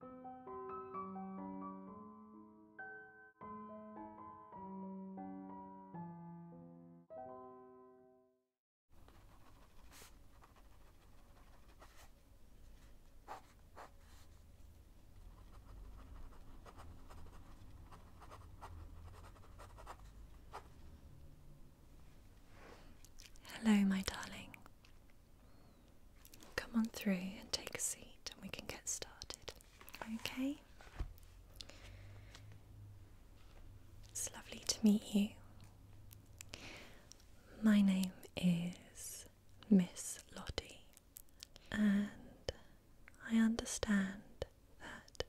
Hello, my darling. Come on through and take a seat and we can get started. Okay? It's lovely to meet you. My name is Miss Lottie, and I understand that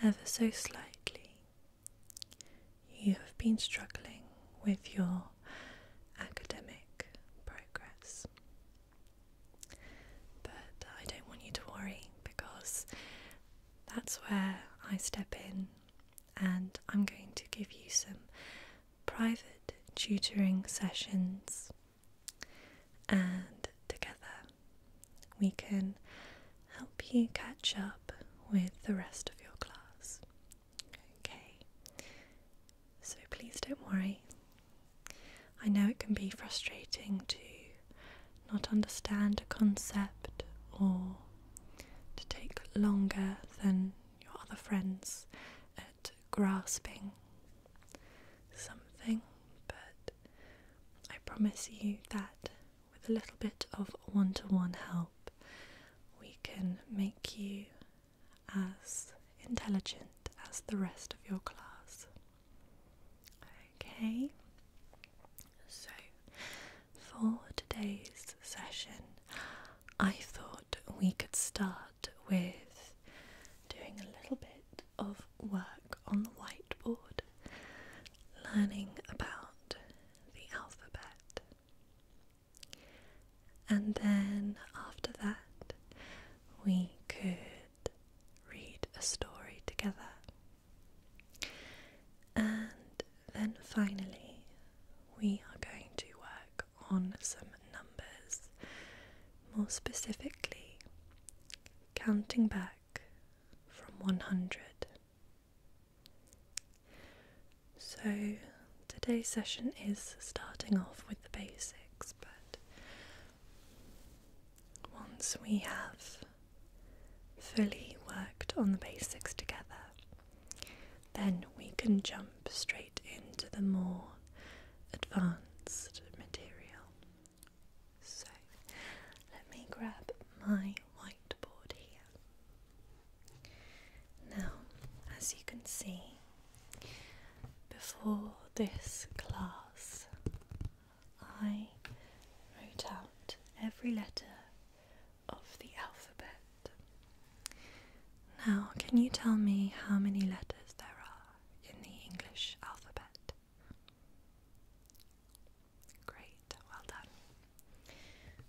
ever so slightly you have been struggling with your academic progress. But uh, I don't want you to worry because that's where I step in and I'm going to give you some private tutoring sessions and together we can help you catch up with the rest of your class. Okay, so please don't worry. I know it can be frustrating to not understand a concept or to take longer than your other friends at grasping something, but I promise you that with a little bit of one to one help, we can make you as intelligent as the rest of your class. Okay, so for today's session, I thought we could start with doing a little bit of work on the whiteboard, learning about the alphabet. And then after that, we could read a story together. And then finally, we are going to work on some numbers, more specifically, counting back from 100. So, today's session is starting off with the basics, but once we have fully worked on the basics together, then we can jump straight into the more advanced material. So, let me grab my whiteboard here. Now, as you can see, before this class, I wrote out every letter of the alphabet. Now, can you tell me how many letters there are in the English alphabet? Great, well done.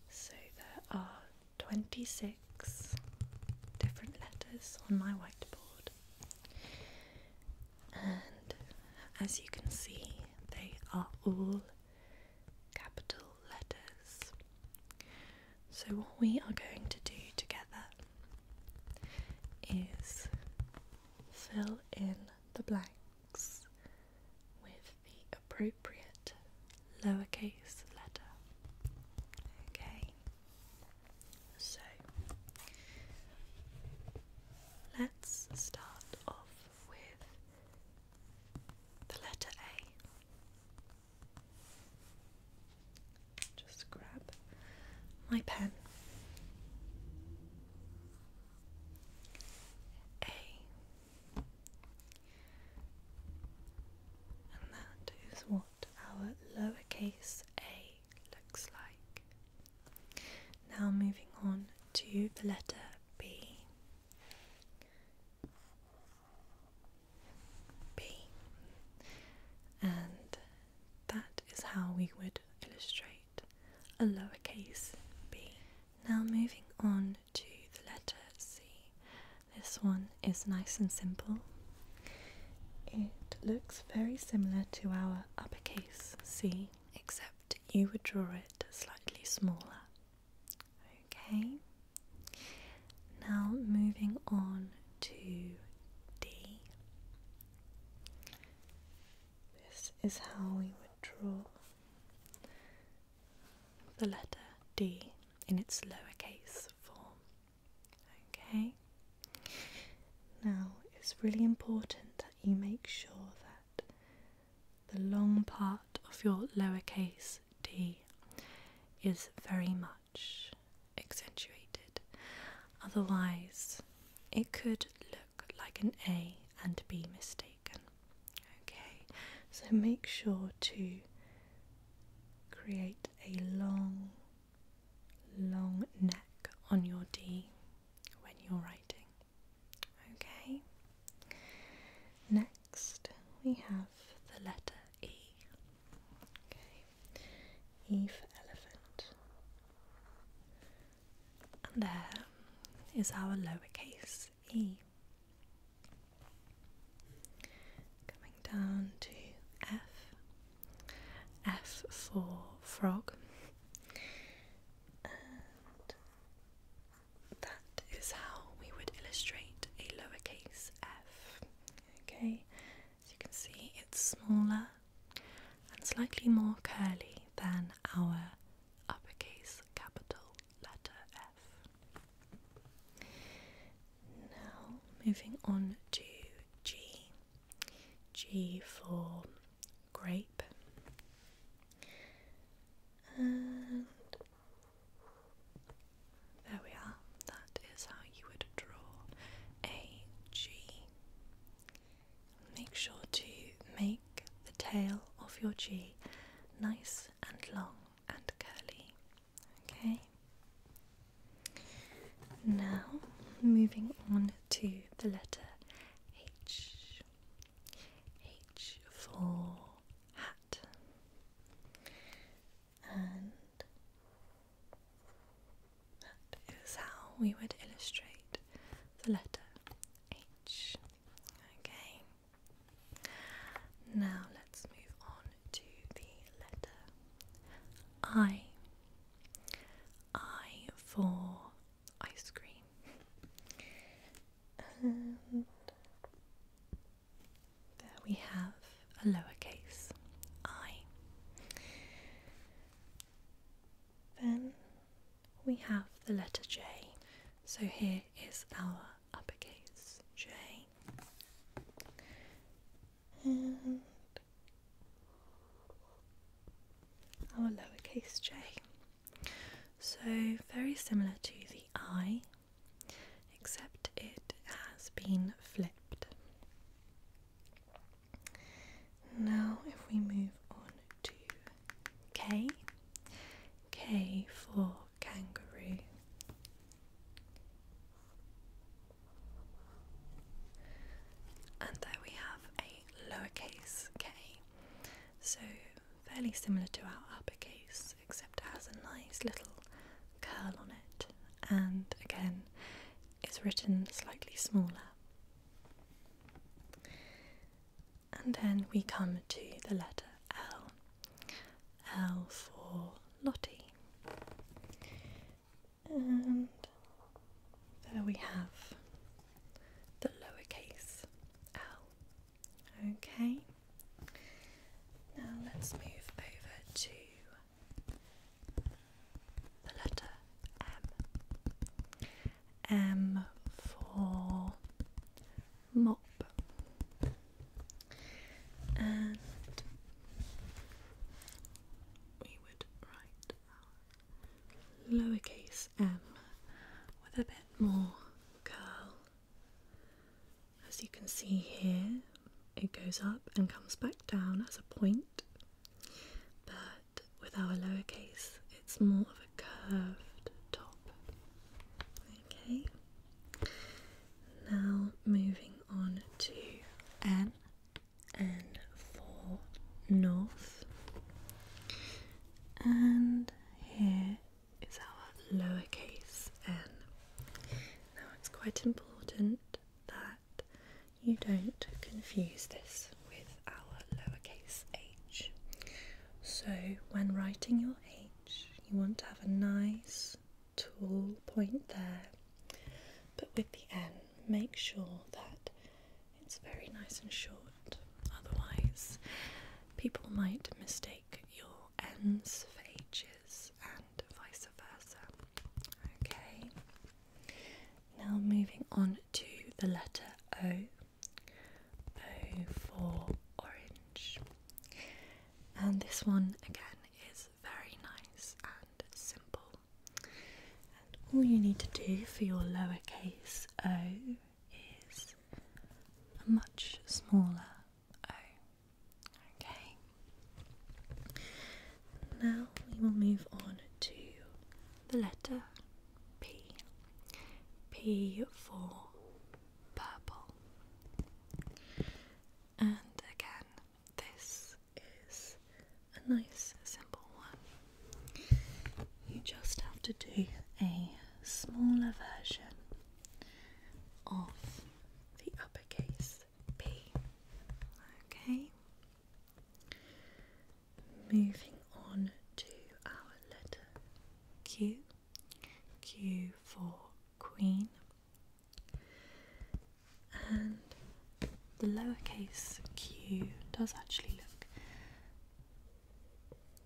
So there are 26 different letters on my whiteboard, and as you can see, they are all capital letters. So, what we are going to do together is fill in the blanks with the appropriate lowercase letter. Okay, so let's start off with the letter A. Just grab my pen. A and that is what our lowercase a looks like. Now moving on to the letter B. B. And that is how we would illustrate a lowercase b. Now moving on to the letter C. This one is nice and simple. It looks very similar to our uppercase C, except you would draw it slightly smaller. Okay, now moving on to D. This is how we would draw the letter D in its lowercase form. Okay? Now, it's really important that you make sure that the long part of your lowercase d is very much accentuated, otherwise, it could look like an A and be mistaken. Okay, so make sure to create a long, long neck on your D when you're writing. Okay, next we have the letter E. Okay, E for elephant. And there is our lowercase E. Coming down to F. F for frog. And that is how we would illustrate a lowercase f. Okay, as you can see, it's smaller and slightly more curly than our uppercase capital letter F. Now, moving on to G. G for grape. And there we are. That is how you would draw a G. Make sure to make the tail of your G nice and long and curly. Okay. Now, moving on to the letter H. H for hat. And that is how we would illustrate the letter H. Okay. Now let's move on to the letter I. I for ice cream. And there we have a lowercase i. Then we have the letter J. So here is our uppercase J and our lowercase j. So, very similar to the I, except it has been flipped. Now, if we move on to K, K for kangaroo. And there we have a lowercase k, so fairly similar to our uppercase, except it has a nice little curl on it, and again, is written slightly smaller. And then we come to the letter L. L for Lottie. And there we have the lowercase L. Okay. Now let's move over to the letter M. M for mop and we would write our lowercase m with a bit more curl. As you can see here, it goes up and comes back down as a point, but with our lowercase, it's more of a curved top. Okay. Now moving on to N. and for north. And here is our lowercase n. Now it's quite important that you don't confuse this with our lowercase h. So when writing your H. You want to have a nice tall point there, but with the N, make sure that it's very nice and short, otherwise, people might mistake your Ns for H's and vice versa. Okay, now moving on to the letter O. O for orange. And this one again is very nice and simple. And all you need to do for your lowercase o is a much smaller o. Okay. Now we will move on to the letter P. P for purple. And again, this is a nice simple one. You just have to do a smaller version of the uppercase P. Okay. Moving on to our letter Q. Q for Queen, and the lowercase q does actually look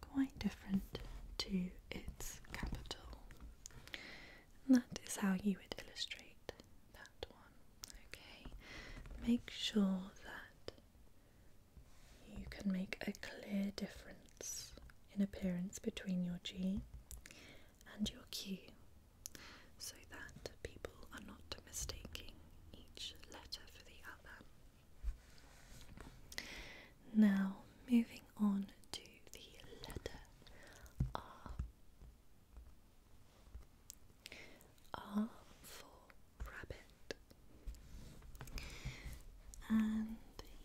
quite different to its capital. that is how you would illustrate that one. Okay, make sure that you can make a clear difference in appearance between your G and your Q so that people are not mistaking each letter for the other. Now, moving on to the letter R. R for rabbit. And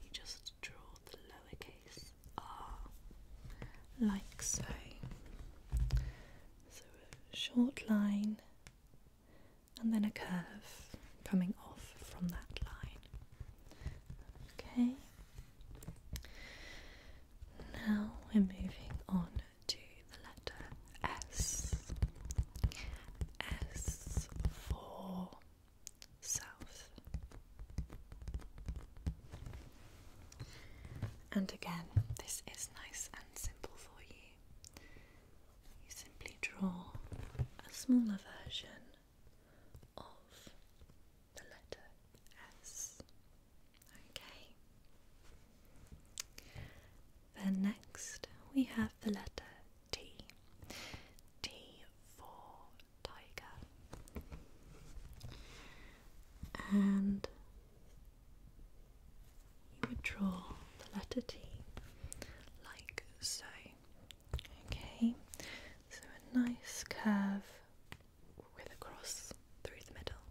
you just draw the lowercase r like so. So a short line and then a curve coming off from that line. Okay. Now we're moving on to the letter S. S for south. And again, this is nice and simple for you. You simply draw a smaller version of the letter S. Okay. Then next we have the letter T. T for tiger. And you would draw the letter T like so. Okay, so a nice curve with a cross through the middle.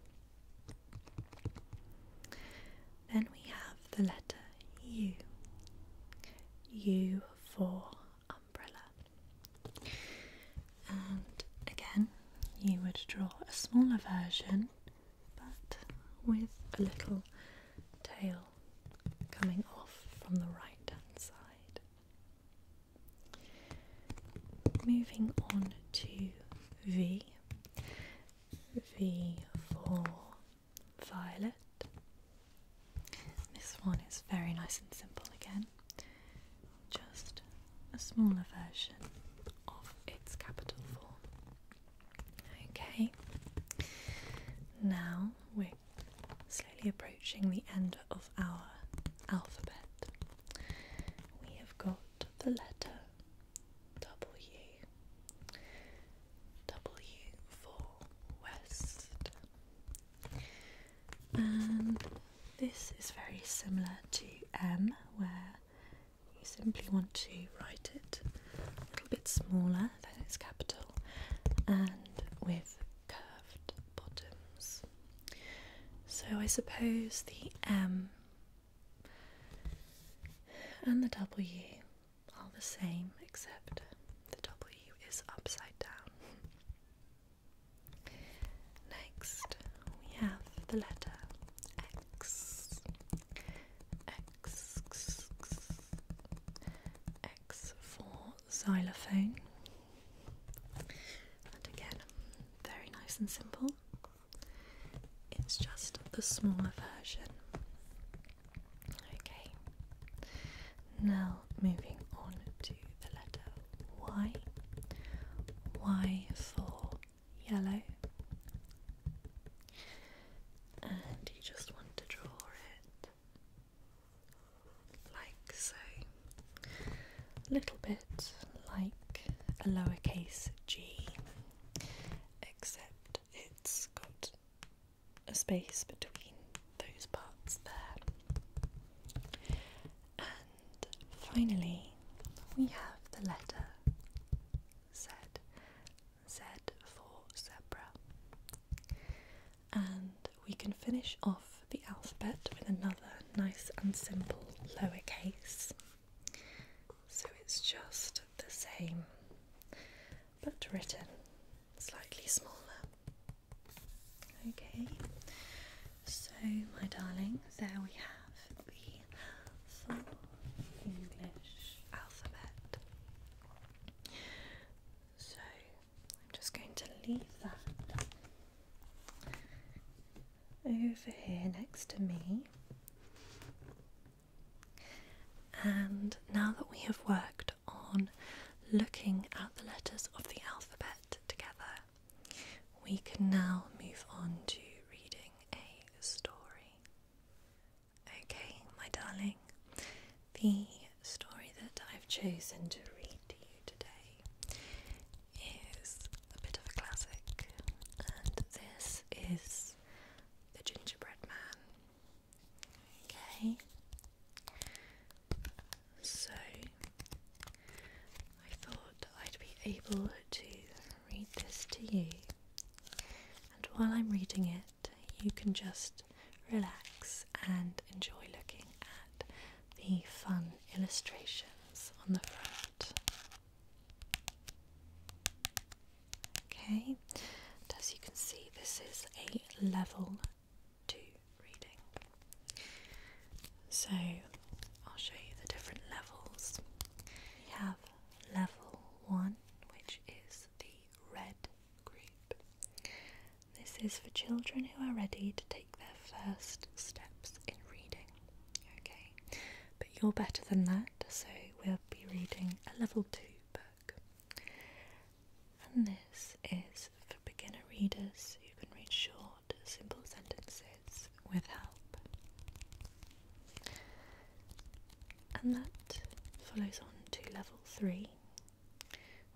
Then we have the letter U. U for umbrella. And again, you would draw a smaller version but with a little tail coming off from the right hand side. Moving on to V. V four violet. This one is very nice and simple again, just a smaller version of its capital form. Okay, now we're slowly approaching the end of our alphabet. We have got the letter W. W for West. And this is very similar to M, where you simply want to write it a little bit smaller than its capital and with curved bottoms. So I suppose the M and the W all the same, except the W is upside down. Next, we have the letter X. X, X, X, X for xylophone. And again, very nice and simple. It's just the smaller version Okay. Now moving on to the letter Y. Y for yellow. And you just want to draw it like so. A little bit like a lowercase g, except it's got a space between those parts there. And finally, we have the letter Z. Z for zebra. And we can finish off the alphabet with another nice and simple lowercase. So it's just the same but written slightly smaller. Okay, so my darling, there we have the full English alphabet. So I'm just going to leave that over here next to me. And now that we have worked on looking at the letters of the alphabet together, we can now move on to reading a story. Okay, my darling, the story that I've chosen to read to you today is a bit of a classic, and this is The Gingerbread Man. Okay. So I thought I'd be able to read this to you. And while I'm reading it, you can just relax and enjoy looking at the fun illustrations on the front. Okay, as you can see, this is a level 2 reading. So I'll show you the different levels. We have level 1, which is the red group. This is for children who are ready to take their first steps in reading. Okay, but you're better than that, so we'll be reading a level 2 book. And this is for beginner readers You can read short, simple sentences with help. And that follows on to level three,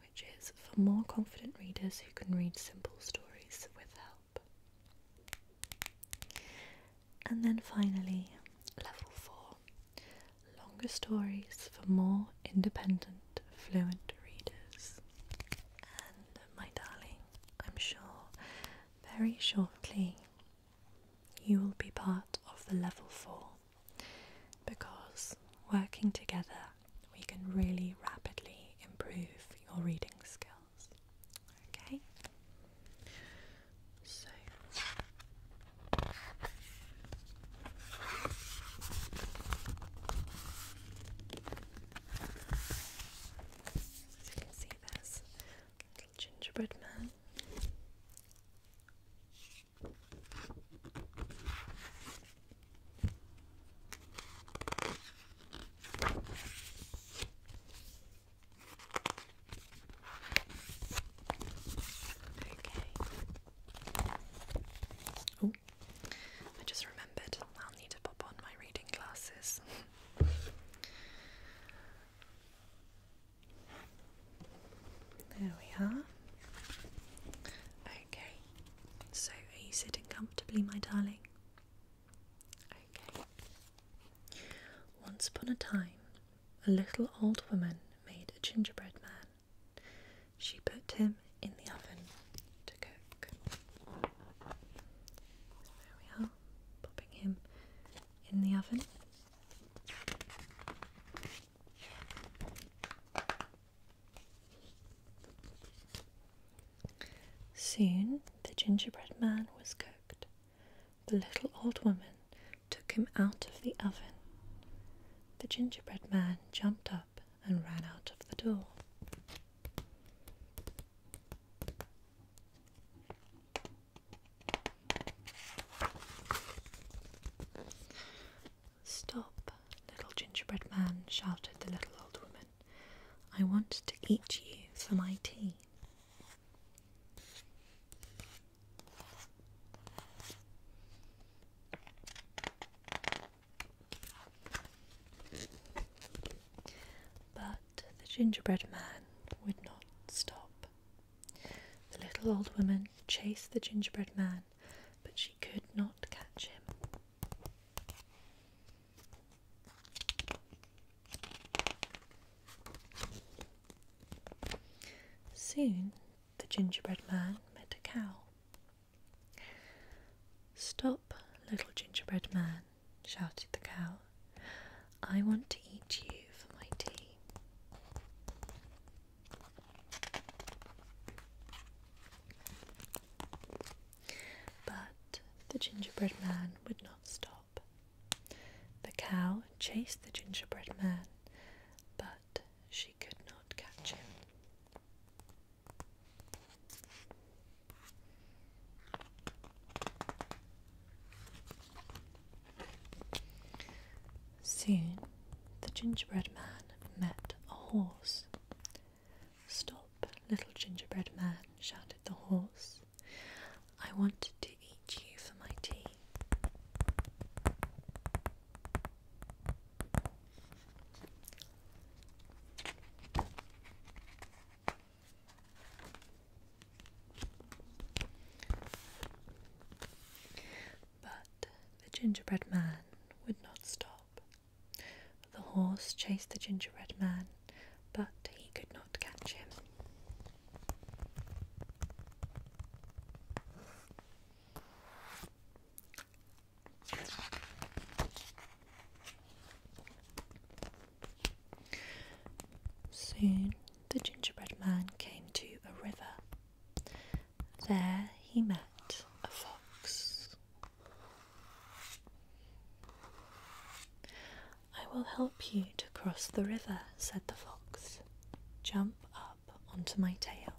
which is for more confident readers who can read simple stories with help. And then finally, level four, longer stories for more independent, fluent readers. And uh, my darling, I'm sure very shortly you will be part of the level four because working together we can really rapidly improve your reading skills. Okay? So as you can see, there's little gingerbread man. Okay. Oh, I just remembered I'll need to pop on my reading glasses. there we are. Okay. So, are you sitting comfortably, my darling? Okay. Once upon a time, a little old woman made a gingerbread man. She put him in the oven to cook. There we are, popping him in the oven. Soon the gingerbread man was cooked, the little old woman took him out of the oven. The gingerbread man jumped up and ran out of the door. Stop, little gingerbread man, shouted the little old woman. I want to eat you for my tea. But the gingerbread man would not stop. The little old woman chased the gingerbread man, but she could not catch him. Soon the gingerbread man met a cow. Stop, little gingerbread man, shouted the cow. I want to eat you for my tea. But the gingerbread man would not stop. The cow chased the gingerbread man but she could not catch him. Soon the gingerbread man met a horse. Stop, little gingerbread man, shouted the horse. I wanted to eat you for my tea. But the gingerbread man would not stop. The horse chased the gingerbread man, but he could not catch him. Soon the gingerbread man came to a river. There he met a fox. I will help you to cross the river, said the fox. Jump up onto my tail.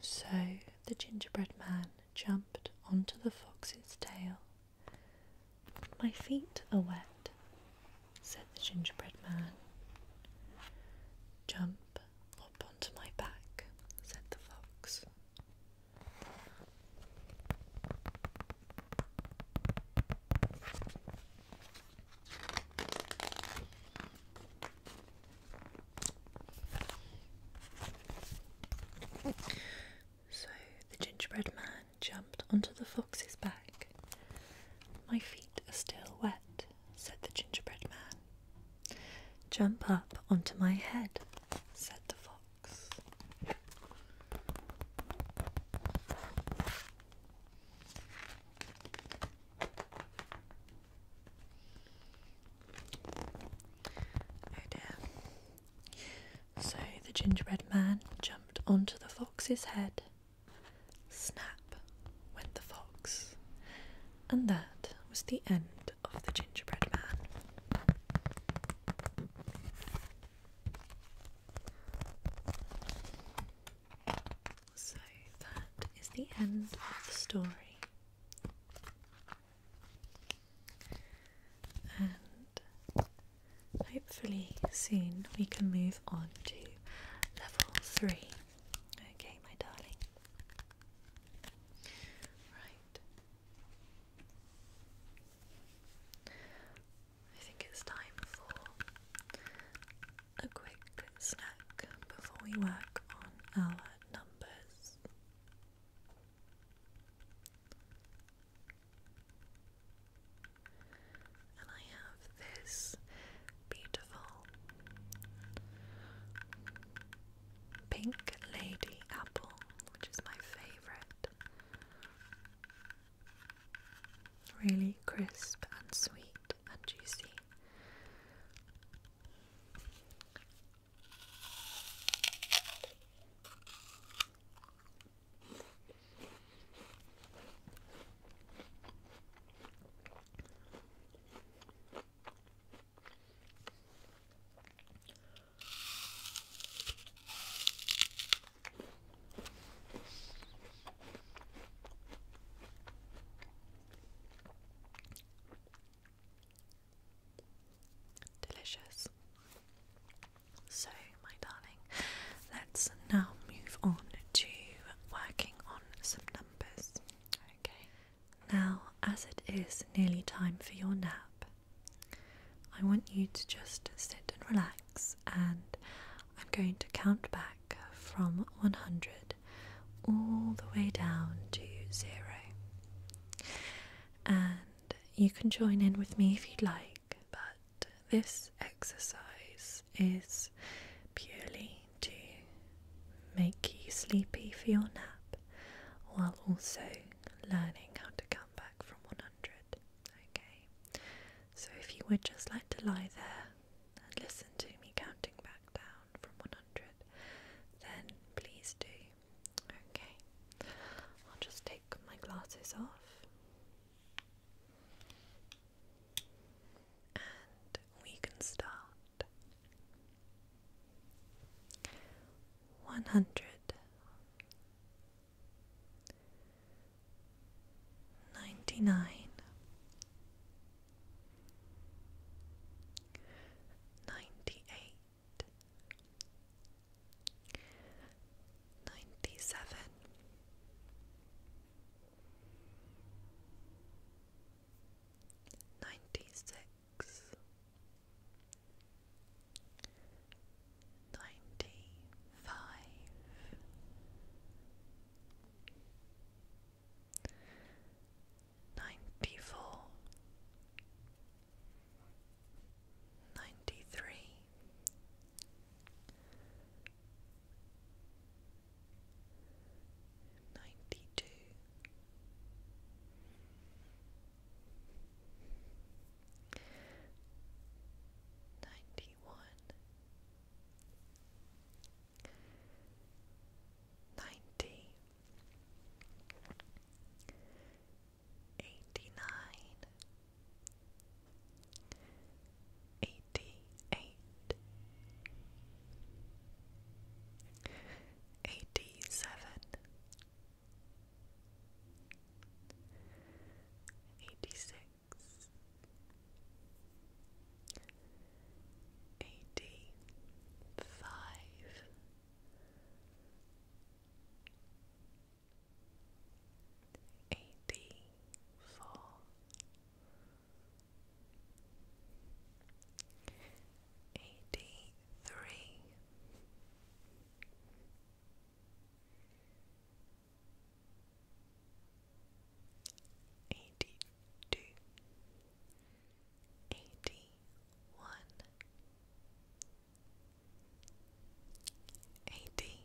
So the gingerbread man jumped onto the fox's tail. My feet are wet, said the gingerbread man. Jump, up onto my back, said the fox. So the gingerbread man jumped onto the fox's back. My feet are still wet, said the gingerbread man Jump up onto my head, said the fox. Oh dear. So the gingerbread man jumped onto the fox's head Snap went the fox, and that was the end of the gingerbread man. So that is the end of the story. And hopefully, soon we can move on to level three. Okay, my darling. Right. I think it's time for a quick snack before we work on our numbers. And I have this beautiful pink lady apple, which is my favorite. Really crisp and sweet and juicy. Delicious. So, my darling, let's now move on to working on some numbers. Okay. Now, as it is nearly time for your nap, I want you to just sit and relax, and I'm going to count back from 100 all the way down to zero. And you can join in with me if you'd like, but this exercise is purely to make you sleepy for your nap while also learning how to count back from 100. Okay, so if you would just like to lie there and listen to me counting back down from 100, then please do. Okay, I'll just take my glasses off. And we can start one hundred ninety nine ninety eight ninety seven ninety six, ninety five, ninety four, ninety three ninety two. Ninety one, ninety, eighty nine, eighty eighty-eight, eighty-seven, eighty-six, eighty-five. Eighty four, eighty three. Eighty two, eighty one, eighty,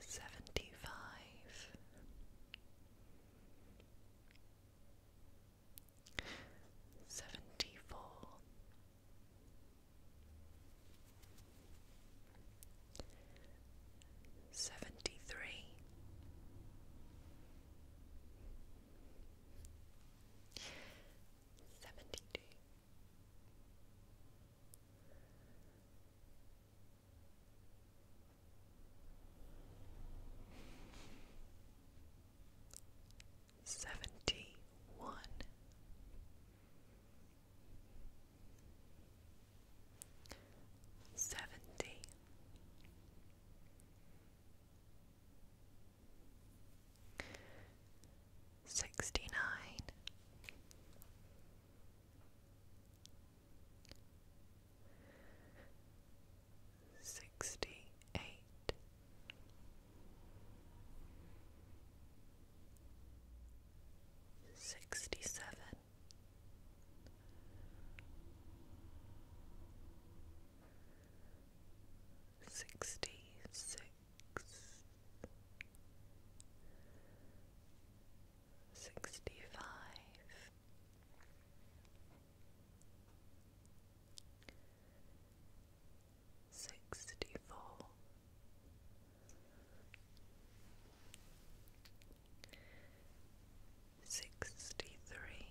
Seventy five, seventy four, seventy three. Seventy-one. Seventy one, seventy, sixty nine, sixty eight. Sixty seven, Sixty six, sixty five, sixty four, sixty three.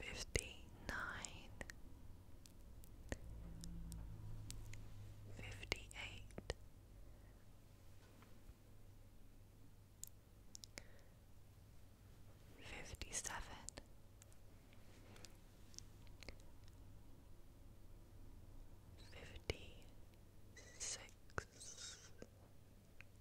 fifty nine, fifty eight, fifty seven, fifty six.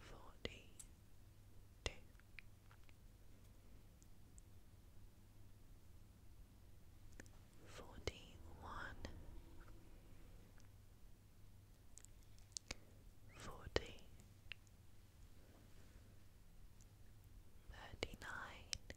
forty two. Forty one, forty, thirty nine,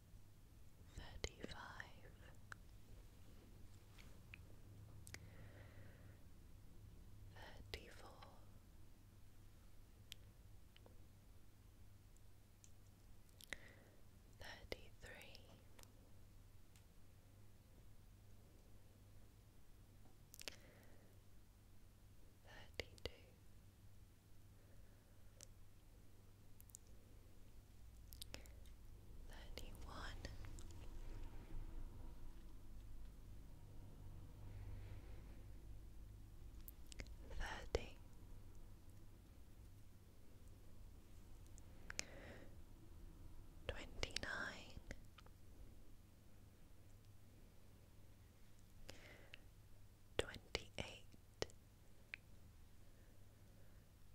thirty-five, thirty-four, thirty-three, thirty-two thirty-one thirty twenty-nine Twenty eight,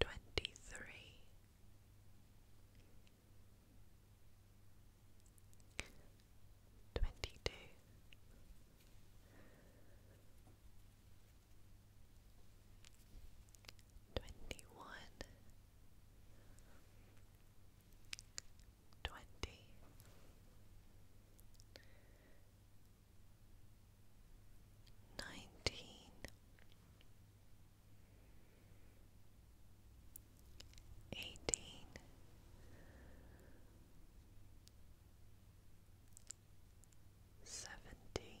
twenty three, twenty two. Twenty one, twenty nineteen eighteen seventeen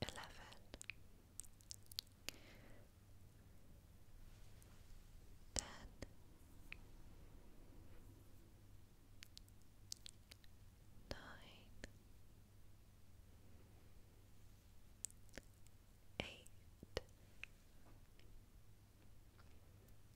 eleven, ten, nine, eight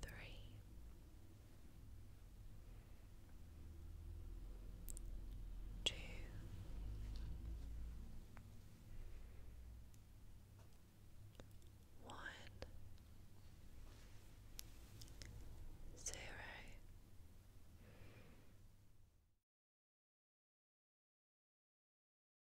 three, two, one, zero.